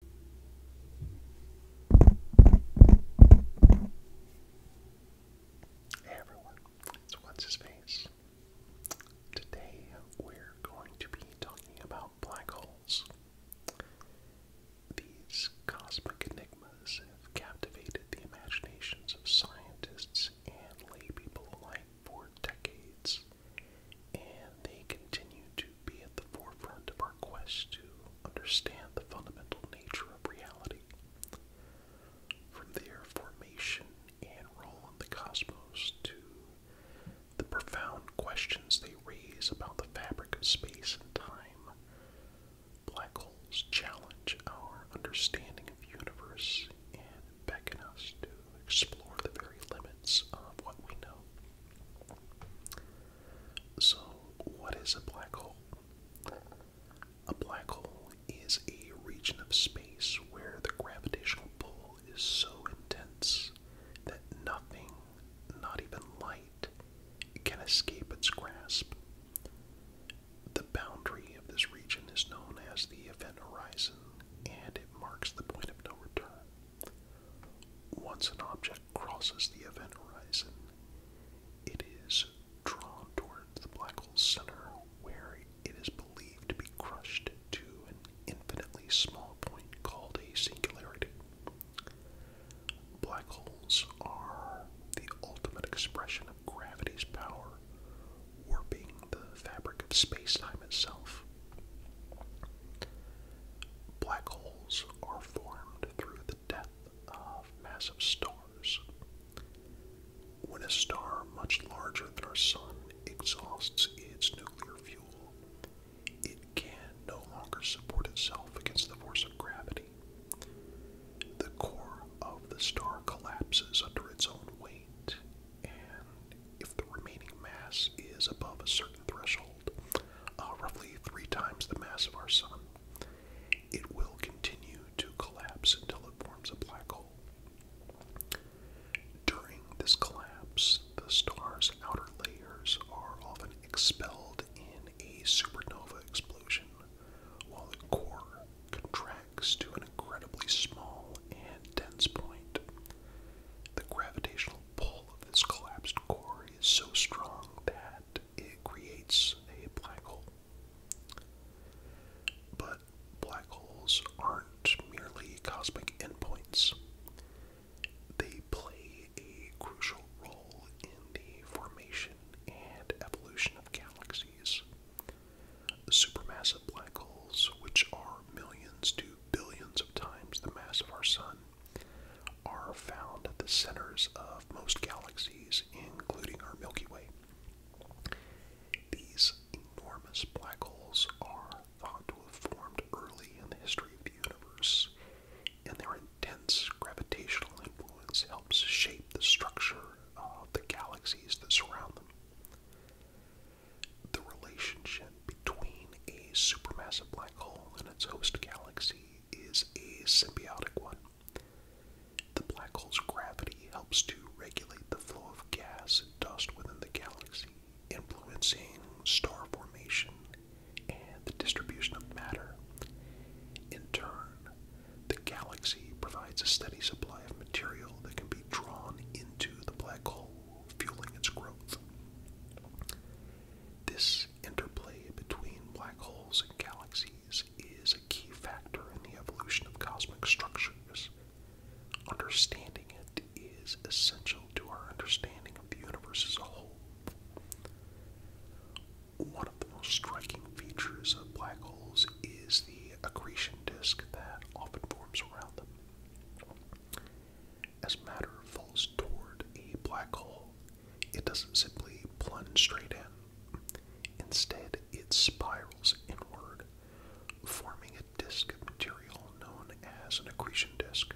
Hey everyone, it's What's His Today we're going to be talking about black holes. These cosmic enigmas have captivated the imaginations of scientists and lay people alike for decades, and they continue to to be at the forefront of our quest to understand the fundamental nature of reality. From their formation and role in the cosmos to the profound questions they raise about the fabric of space and time, black holes challenge our understanding of the universe and beckon us to explore the very limits of what we know. So, what is a black hole? A black hole is a region of space where the gravitational pull is so intense that nothing, not even light, can escape its grasp. The boundary of this region is known as the event horizon, and it marks the point of no return. Once an object crosses the event horizon, it is drawn toward the black hole's center, where it is believed to be crushed to an infinitely small point called a singularity. Black holes are the ultimate expression of gravity's power, warping the fabric of space time itself. Black holes are formed through the death of massive stars. When a star much larger than our Sun exhausts its nuclear fuel, it can no longer support itself against the force of gravity. The core of the star collapses under its own weight and if the remaining mass is above a certain threshold, uh, roughly three times the mass of our sun, it will continue to collapse until it forms a black hole. During this collapse, the star's outer layers are often expelled in a supernova explosion, while the core contracts to an incredibly small and dense point. The gravitational pull of this collapsed core is so strong that it creates a black hole. But black holes aren't merely cosmic endpoints. They play a crucial role in the formation and evolution of galaxies. Supermassive black holes, which are millions to billions of times the mass of our Sun, are found at the centers of most galaxies, including our Milky Way. These enormous black holes are thought to have formed early in the history of the universe, and their intense gravitational influence helps shape the structure of the galaxies that surround them the relationship between a supermassive black hole and its host galaxy is a symbiotic one. The black hole's gravity helps to regulate the flow of gas and dust within the galaxy, influencing star formation and the distribution of matter. In turn, the galaxy provides a steady supply of material that can be drawn into the black hole, fueling its growth. This interplay between black holes and galaxies is a key factor in the evolution of cosmic structures. Understanding it is essential to our understanding of the universe as a whole. One of the most striking features of black holes is the accretion disk that often forms around them. As matter falls toward a black hole, it doesn't simply plunge straight in. Instead, it spirals inward, forming a disk of material known as an accretion disk.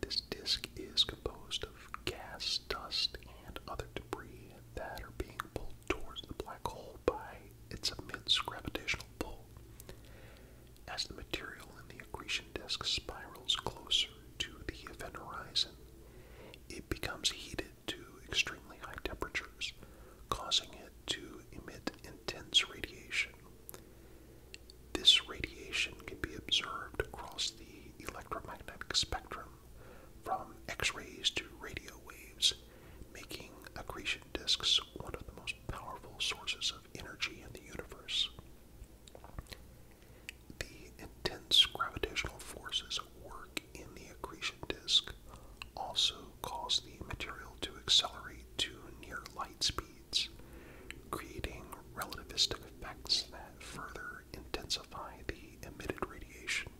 This disk is composed of gas, dust, and other debris that are being pulled towards the black hole by its immense gravitational pull. As the material in the accretion disk spirals closer to the event horizon, it becomes heated to extremely high temperatures, causing it to emit intense radiation. This radiation can be observed across the electromagnetic spectrum, from X rays to radio waves, making accretion disks one of the most powerful sources of energy in the universe. The intense gravitational forces work in the accretion disk also cause the material to accelerate to near light speeds, creating relativistic effects that further intensify the emitted radiation.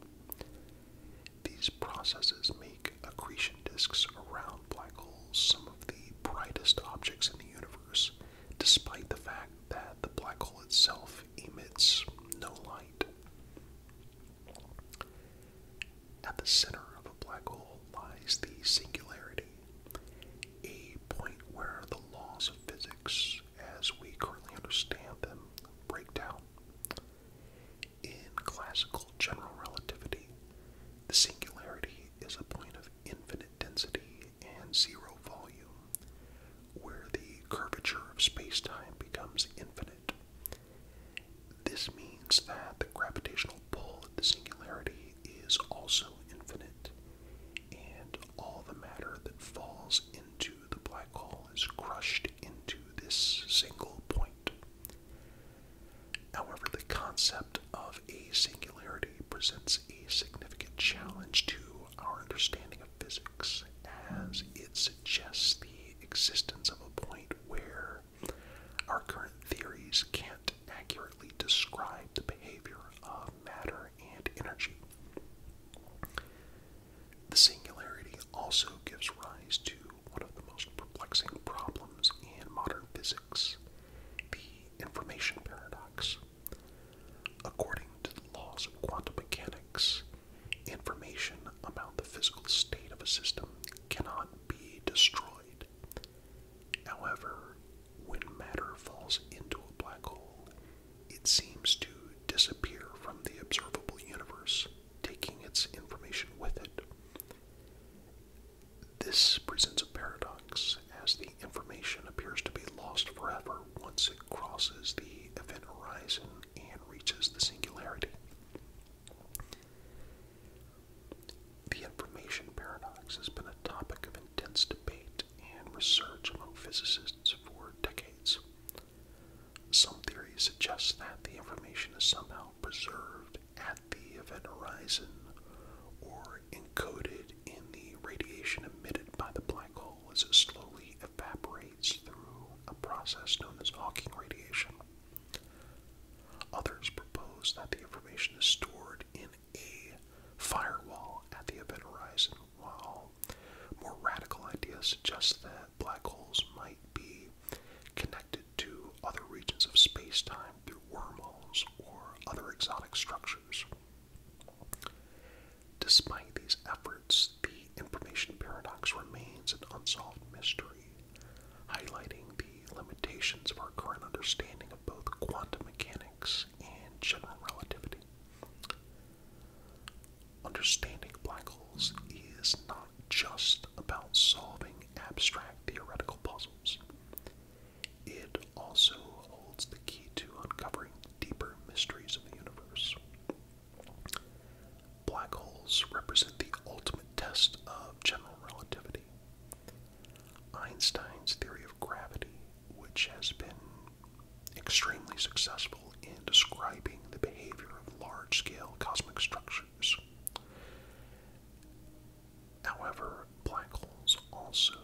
These processes make accretion disks around black holes some of the brightest objects in the universe, despite the fact that the black hole itself emits no light. At the center of a black hole lies the singularity, a point where the laws of physics, as we currently understand them, break down. In classical general relativity, the singularity is a point of infinite density and zero volume, where the curvature of spacetime becomes infinite. This means that the gravitational pull of the singularity is also infinite, and all the matter that falls into the black hole is crushed into this single point. However, the concept of a singularity presents a significant challenge to our understanding of physics, as it suggests the existence of a point where our current theories can't accurately describe the behavior of matter and energy. The singularity also gives rise to one of the most perplexing problems in modern physics the information paradox. According to the laws of quantum mechanics, information about the physical state of a system cannot be destroyed. However, when matter falls into a black hole, it seems to disappear from the observable universe, taking its information with it. This presents a paradox, as the information appears to be lost forever once it crosses the event horizon and reaches the singularity. The information paradox has been a topic of intense debate and research among physicists for decades. Some theories suggest that the information is somehow preserved at the event horizon or encoded in the radiation emitted by the black hole as it slowly evaporates through a process known as Hawking radiation. Others propose that the information is stored in a firewall at the event horizon while more radical ideas suggest that black holes might be connected to other regions of space time through wormholes or other exotic structures. Despite these efforts, the information paradox remains an unsolved mystery, highlighting the limitations of our current understanding of both quantum mechanics and general relativity. Understanding black holes is not just about solving abstract theoretical puzzles. It also holds the key to uncovering deeper mysteries of the universe. Black holes represent the ultimate test of general relativity. Einstein's theory of gravity which has been extremely successful in describing the behavior of large scale cosmic structures. However, black holes also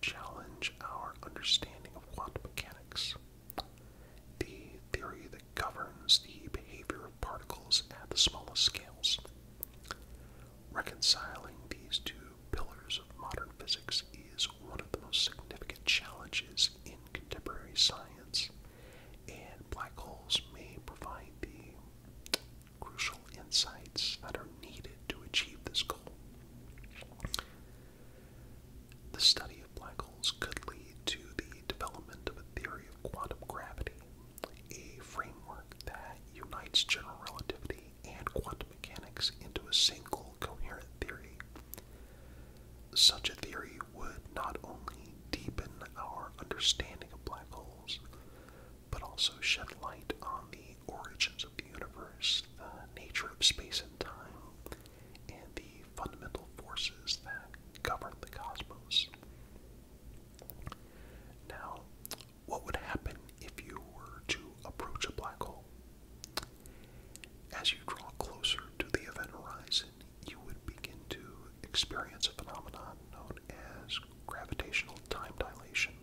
challenge our understanding of quantum mechanics, the theory that governs the behavior of particles at the smallest scales. Reconciling these two pillars of modern physics is one of the most significant challenges in contemporary science, and black holes may provide the crucial insights that are needed to achieve this goal. The study of black holes could lead to the development of a theory of quantum gravity, a framework that unites general relativity and quantum mechanics into a single coherent theory. Such a theory would not only deepen our understanding of black holes, but also shed light on the origins of the universe, the nature of space and time, and the fundamental forces that govern the cosmos. Now, what would happen if you were to approach a black hole. As you draw closer to the event horizon, you would begin to experience a phenomenon known as gravitational time dilation.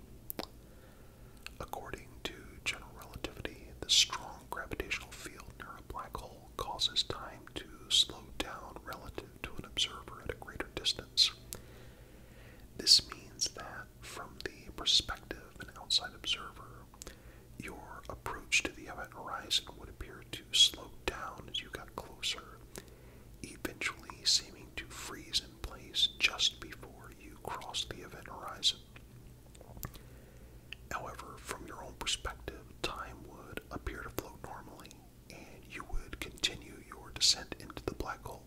According to general relativity, the strong gravitational field near a black hole causes time to slow down relative to an observer at a greater distance. This means that from the perspective of an outside observer, your approach to the event horizon would appear to slow down as you got closer, eventually seeming to freeze in place just before you crossed the event horizon. However, from your own perspective, time would appear to flow normally, and you would continue your descent into the black hole.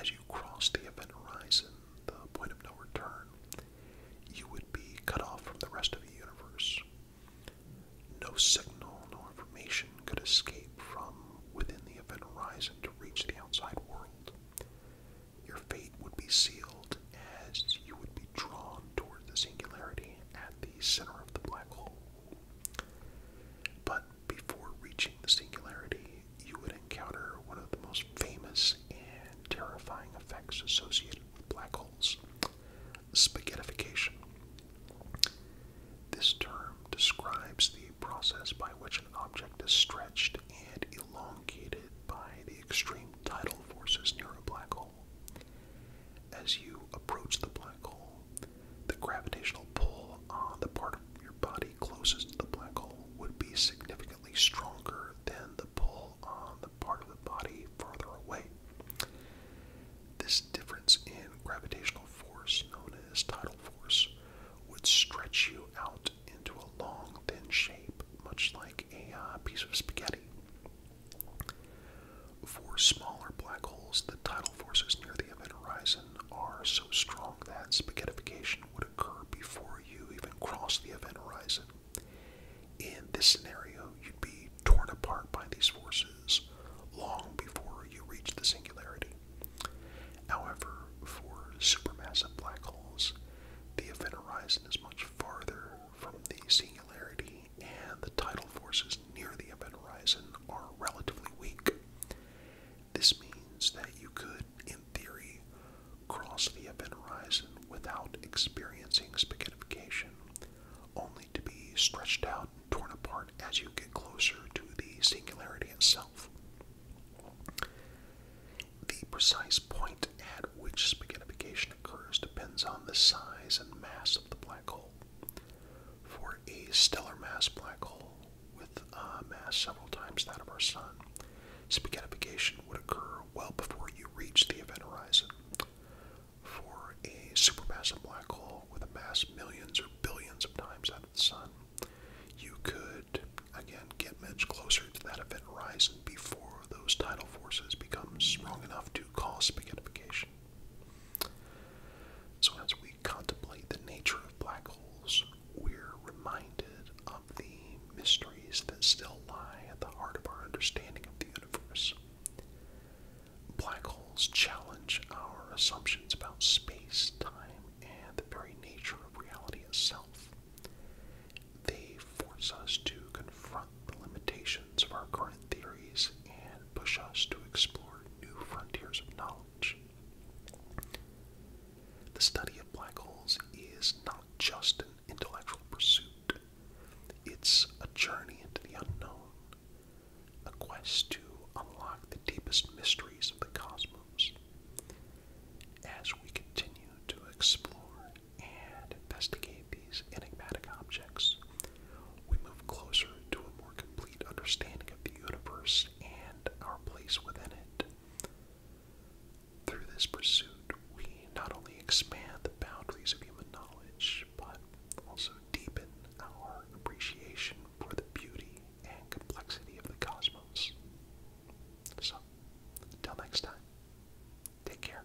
As you cross the event horizon, the point of no return, you would be cut off from the rest of the universe. No signal, no information could escape from within the event horizon to reach the outside world. Your fate would be sealed as you would be drawn toward the singularity at the center of the black hole. But before reaching the singularity, you would encounter one of the most famous and terrifying effects associated with black holes spaghettification. This term describes the process by which an object is stretched and elongated by the extreme tidal forces near a black hole. As you approach the black hole, the gravitational pull on the part of your body closest to the black hole would be significantly stronger than the pull on the part of the body farther away. This difference in gravitational force, known as tidal force, would stretch you out into a long, thin shape, much like a uh, piece of spaghetti. For smaller black holes, the tidal force is near the event horizon are so strong that spaghettification would occur before you even cross the event horizon. In this scenario, you'd be torn apart by these forces long before you reach the singularity. However, for supermassive black holes, the event horizon is much farther from the singularity, and the tidal forces near the event horizon are relatively weak. This means that you could, in theory, cross the event horizon without experiencing spaghettification, only to be stretched out and torn apart as you get closer to the singularity itself. The precise point at which spaghettification occurs depends on the size and mass of the black hole. For a stellar mass black hole, with a uh, mass several times that of our sun. Spaghettification would occur well before you reach the event horizon. For a supermassive black hole with a mass millions or billions of times that of the sun, you could again get much closer to that event horizon before those tidal forces become strong enough to cause spaghettification. So that's we contemplate the nature of black holes, we're reminded of the mysteries that still lie at the heart of our understanding of the universe. Black holes challenge our assumptions about space, time, and the very nature of reality itself. They force us to confront the limitations of our current theories and push us to explore new frontiers of knowledge. The study of black holes is not just an intellectual pursuit, it's a journey into the unknown, a quest to unlock the deepest mysteries of the cosmos. As we continue to explore and investigate these enigmatic objects, we move closer to a more complete understanding of the universe and our place within it. Through this pursuit, we not only expand the boundaries of human knowledge, but also deepen our appreciation for the beauty and complexity of the cosmos. So, until next time, take care.